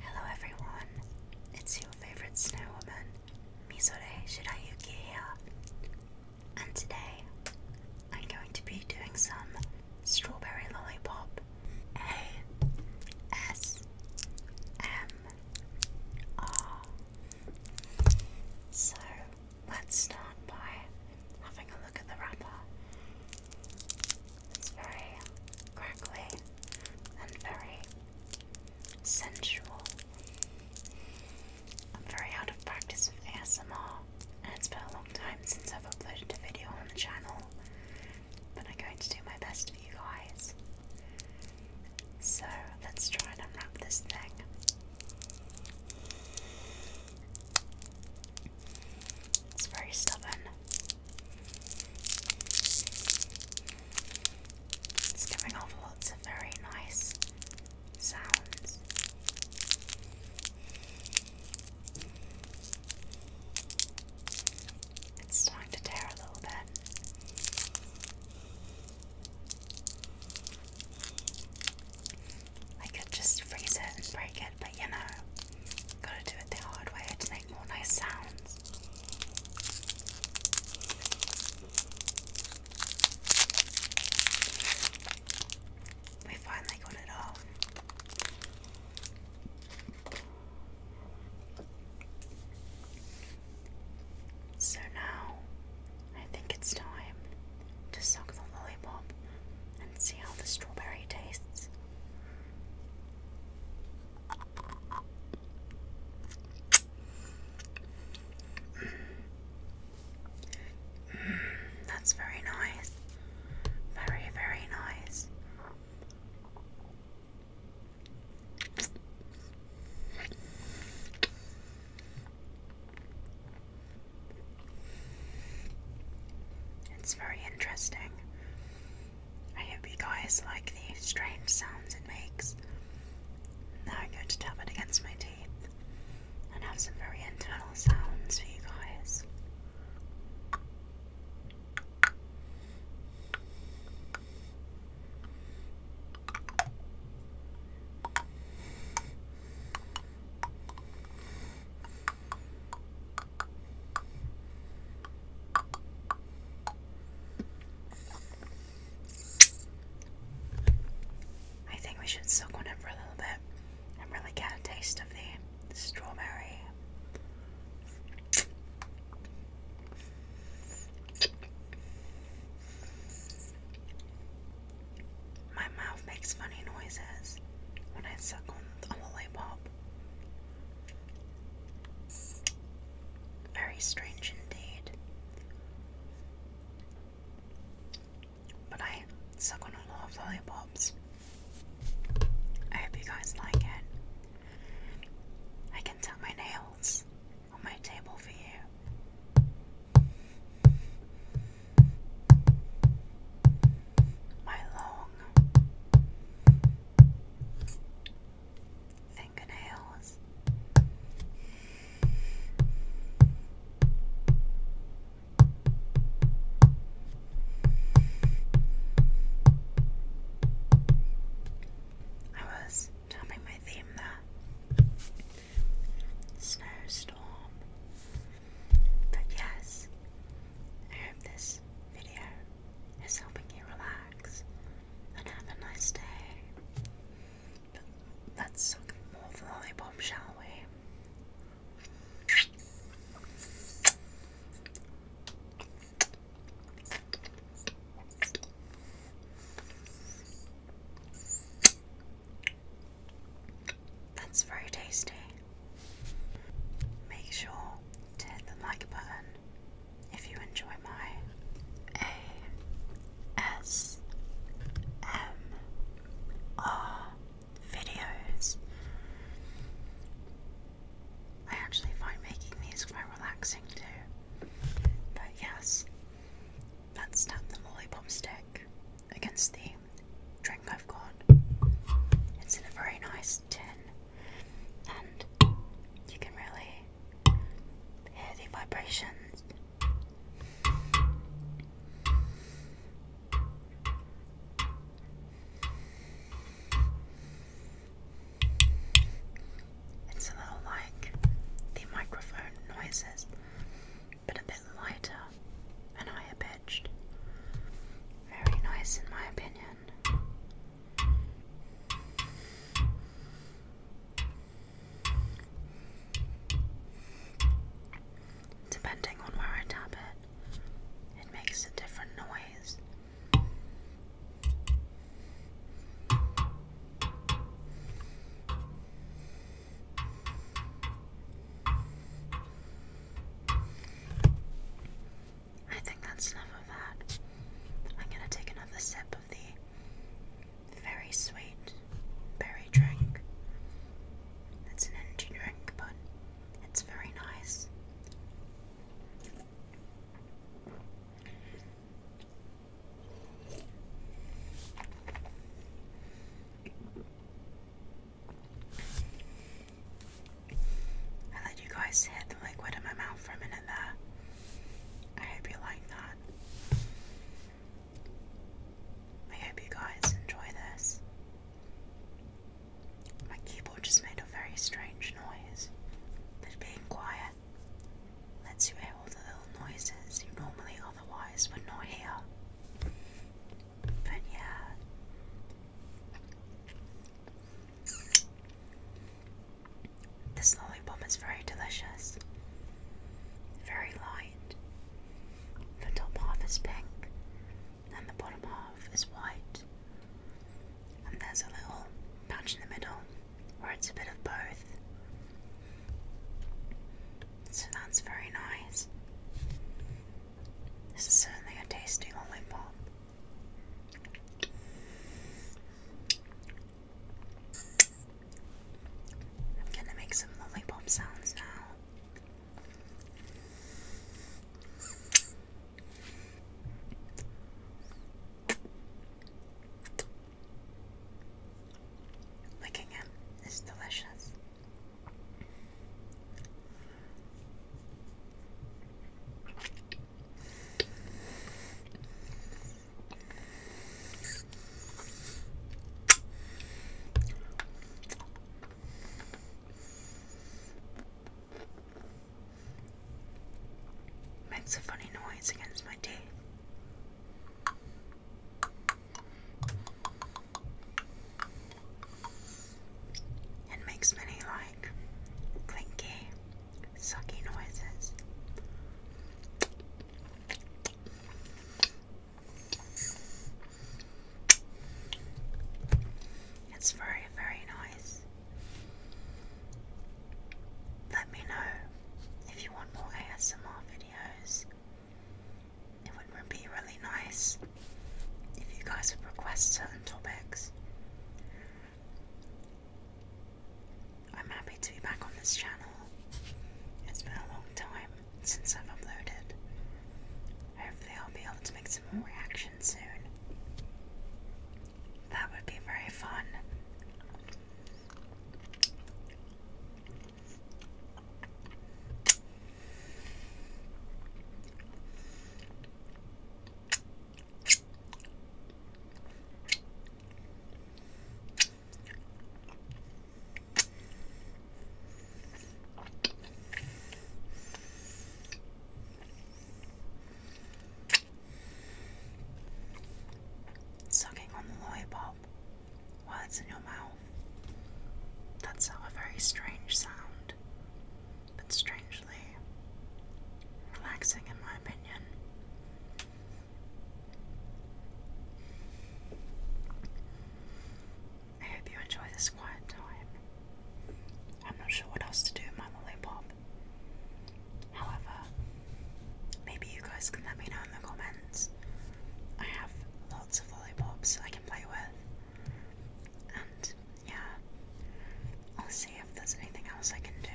Hello everyone, it's your favorite snow woman, Mizore Shirayuki here, and today I'm going to be doing some strawberry lollipop A S M R. So let's start by having a look at the wrapper. It's very crackly and very sensual. I'm very out of practice with ASMR, and it's been a long time since I've uploaded a video on the channel, but I'm going to do my best for you guys. So let's try and unwrap this thing. It's very stubborn, it's giving off lots of very nice sounds. It's starting to tear a little bit. I could just freeze it and break it, but you know, Gotta do it the hard way to make more nice sounds. We finally got it off. So now I think it's time to suck the lollipop and see how the strawberry tastes. Mm, that's very nice. Very, very nice. It's very interesting. I hope you guys like the strange sounds it makes. Now I'm going to tap it against my teeth and have some very internal sounds for you guys. I think we should soak on it for a little bit and really get a taste of the strawberry. My mouth makes funny noises when I suck on the lollipop. Very strange indeed. But I suck on a lot of lollipops. I hope you guys like it. I can tap my nails on my table for you. My long, fingernails. I was tapping my theme there. Snowstorm. But yes, I hope this video is helping you relax and have a nice day. let's look more volleyball, shall we? That's very tasty. Make sure to hit the like button if you enjoy my ASMR videos. I actually find making these quite relaxing too. But yes, let's tap the lollipop stick against the drink I've got. It's in a very nice is and you can really hear the vibrations. It's a little like the microphone noises, but a bit lighter and higher pitched. Very nice, in my opinion. Depending on where I tap it, it makes a different noise. I think that's enough of that. I'm gonna take another sip of the very sweet berry drink. It's an energy drink, but it's very nice. I let you guys hit the liquid in my mouth for a minute there. I hope you like that. I hope you guys enjoy this. My keyboard just made a very strange noise, but being quiet lets you hear all the little noises you normally otherwise would not hear. But yeah. This lollipop is very delicious, very light. The top half is pink, and the bottom half is white. And there's a little patch in the middle where it's a bit of both. So that's very nice. This is certainly a tasty lollipop. I'm gonna make some lollipop sounds now. Licking it is delicious. Makes a funny noise against my teeth. It makes me like clinky sucky noises. It's very, very nice. Let me know if you want more ASMR videos. It would be really nice if you guys would request certain topics. I'm happy to be back on this channel. It's been a long time since I've uploaded. Hopefully, I'll be able to make some more reactions soon. That would be very fun. Sucking on the lollipop while it's in your mouth. That's a very strange sound, but strange relaxing, in my opinion. I hope you enjoy this quiet time. I'm not sure what else to do with my lollipop. However, maybe you guys can let me know in the comments. I have lots of lollipops I can play with. And yeah, I'll see if there's anything else I can do.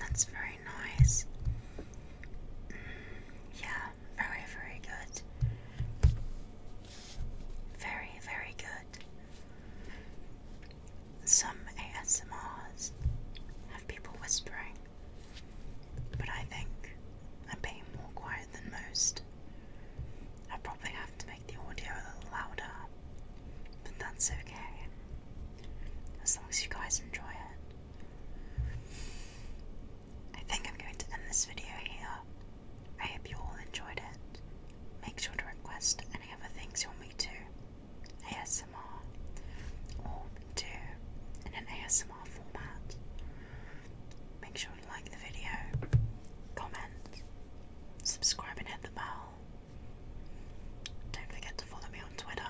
That's very nice. Yeah, very, very good. Very, very good. Some ASMRs have people whispering. But I think I'm being more quiet than most. I probably have to make the audio a little louder, but that's okay. As long as you guys enjoy it. I think I'm going to end this video here. I hope you all enjoyed it. Make sure to request any other things you want me to ASMR or do an ASMR Make sure to like the video, comment, subscribe and hit the bell. Don't forget to follow me on Twitter.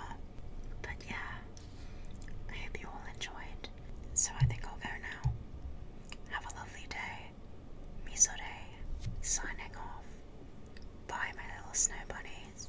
But yeah, I hope you all enjoyed. So I think I'll go now. Have a lovely day. Misore, signing off. Bye, my little snow bunnies.